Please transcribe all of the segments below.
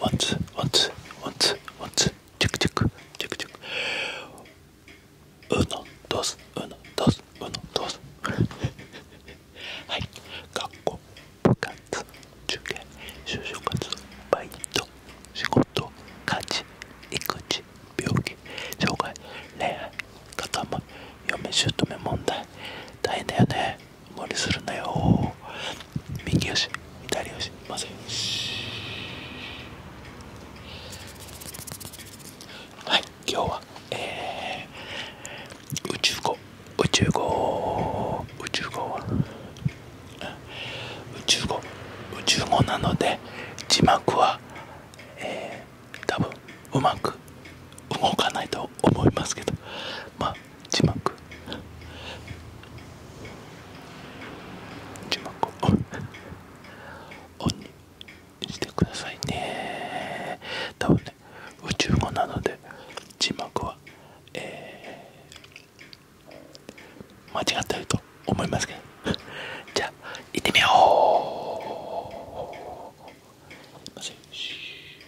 ワンツワンツワンツワンチェックチェックチェックチェックうのどうすうのどうすうのどうすはい学校部活受験就職活バイト仕事家事育児病気障害恋愛固ま嫁姑問題大変だよね無理するなよ右よし左よしまずよしはい今日はえー、宇宙語宇宙語宇宙語は宇宙語宇宙語なので字幕はえー、多分うまく動かないと思いますけどまあ字幕字幕をオンにしてくださいね多分ね宇宙語なので字幕は、えー、間違ってると思いますけどじゃあ行ってみよう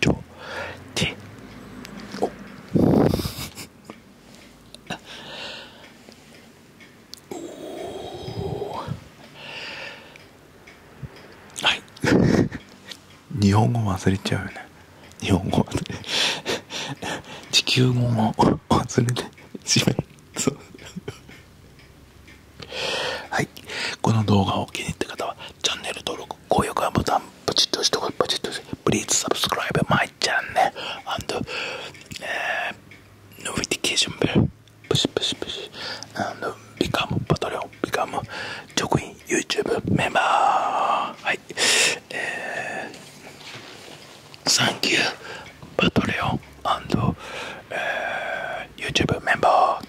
ちょておおはい日本語忘れちゃうよね日本語忘れ地球語も忘れてしそうはいこの動画を気に入った方はチャンネル登録、高評価ボタン、ポチッと押して、ポチッと押して、Please subscribe my channel and、uh, notification and become Patreon, become 直員 YouTube メンバー。はい。えー、Thank you, Patreon and、uh, YouTube メンバー。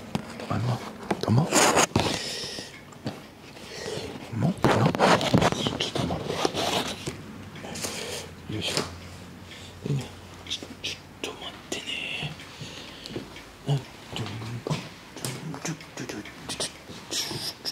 お前もどうもなちょっと待ってよいしょいいちょっと待ってねなちょちょちょちちょちょちょちょ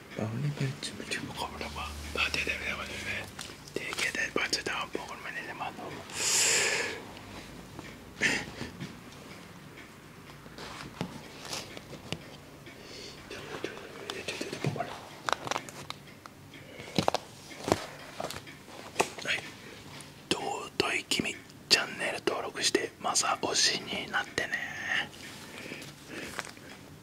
باقول بهت بدون مقابل ما ما تقدر يا ولد تيجي تبعت تداوم بقول من اللي ما نوم 尊い君チャンネル登録してまさ推しになってね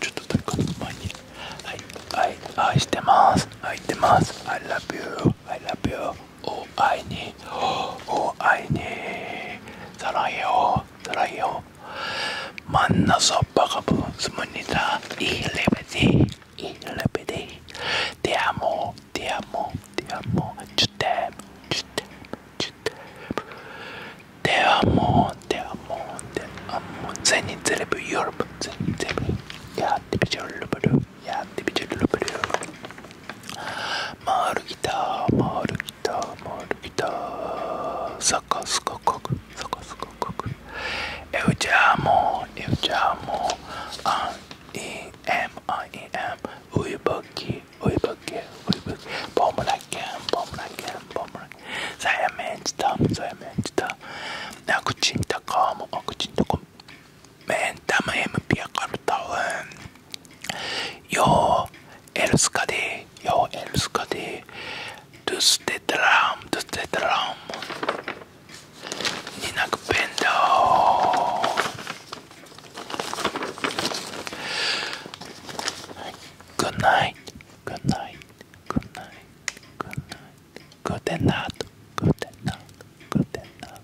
ちょっと誰か前にはい愛してます愛してます I love you I love you お愛にお愛にさらいよさらいよ真ん中そばがぶすむにだいいレベル Il repete Ti amo, ti amo, ti amo Ci temo, ci temo, ci temo Det amor, det amor, det amor. Sen inte det på Europe, sen inte det på... Ja, det betyder lupadu, ja, det betyder lupadu. 回るギター、回るギター、回るギター。サカスカカク、サカスカカク。Eu te amo, eu te amo. I am, I am. ウイボキ、ウイボキ、ウイボキ。ボムラ Bombernacken, Bombernacken, Bombernacken. Så här vänta, så här vänta. Akutin takom, akutin takom. Vänta med MP kartan. Jag älskar dig, jag älskar dig. Du stöter ram, du stöter ram. Nina Kupendo. Good night. Good night. Good night. Good night. Good night. Good night. Good night.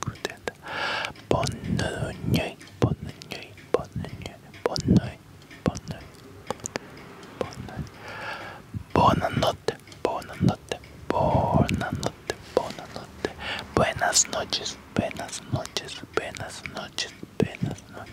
Good night. Bonne nuit. Bonne nuit. Bonne nuit. Bonne nuit. Bonne nuit. Bonne nuit. Bonne notte. Bonne notte. Bonne notte. Bonne notte. Buenas noches. Buenas noches. Buenas noches. Buenas noches.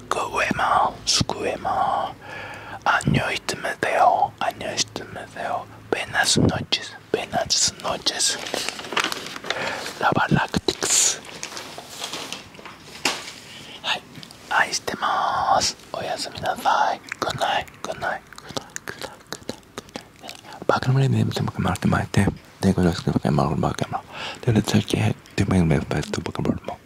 수고해마수고해마안녕히주무세요안녕히주무세요 buenas noches buenas noches 라바락틱스はい愛してまーすおやすみなさい Good night Good night Good night Good night バカのレベルでも決まってまいてでご了承くださいまるバカので、で、最近、で、めんめんばいとバカのレベルも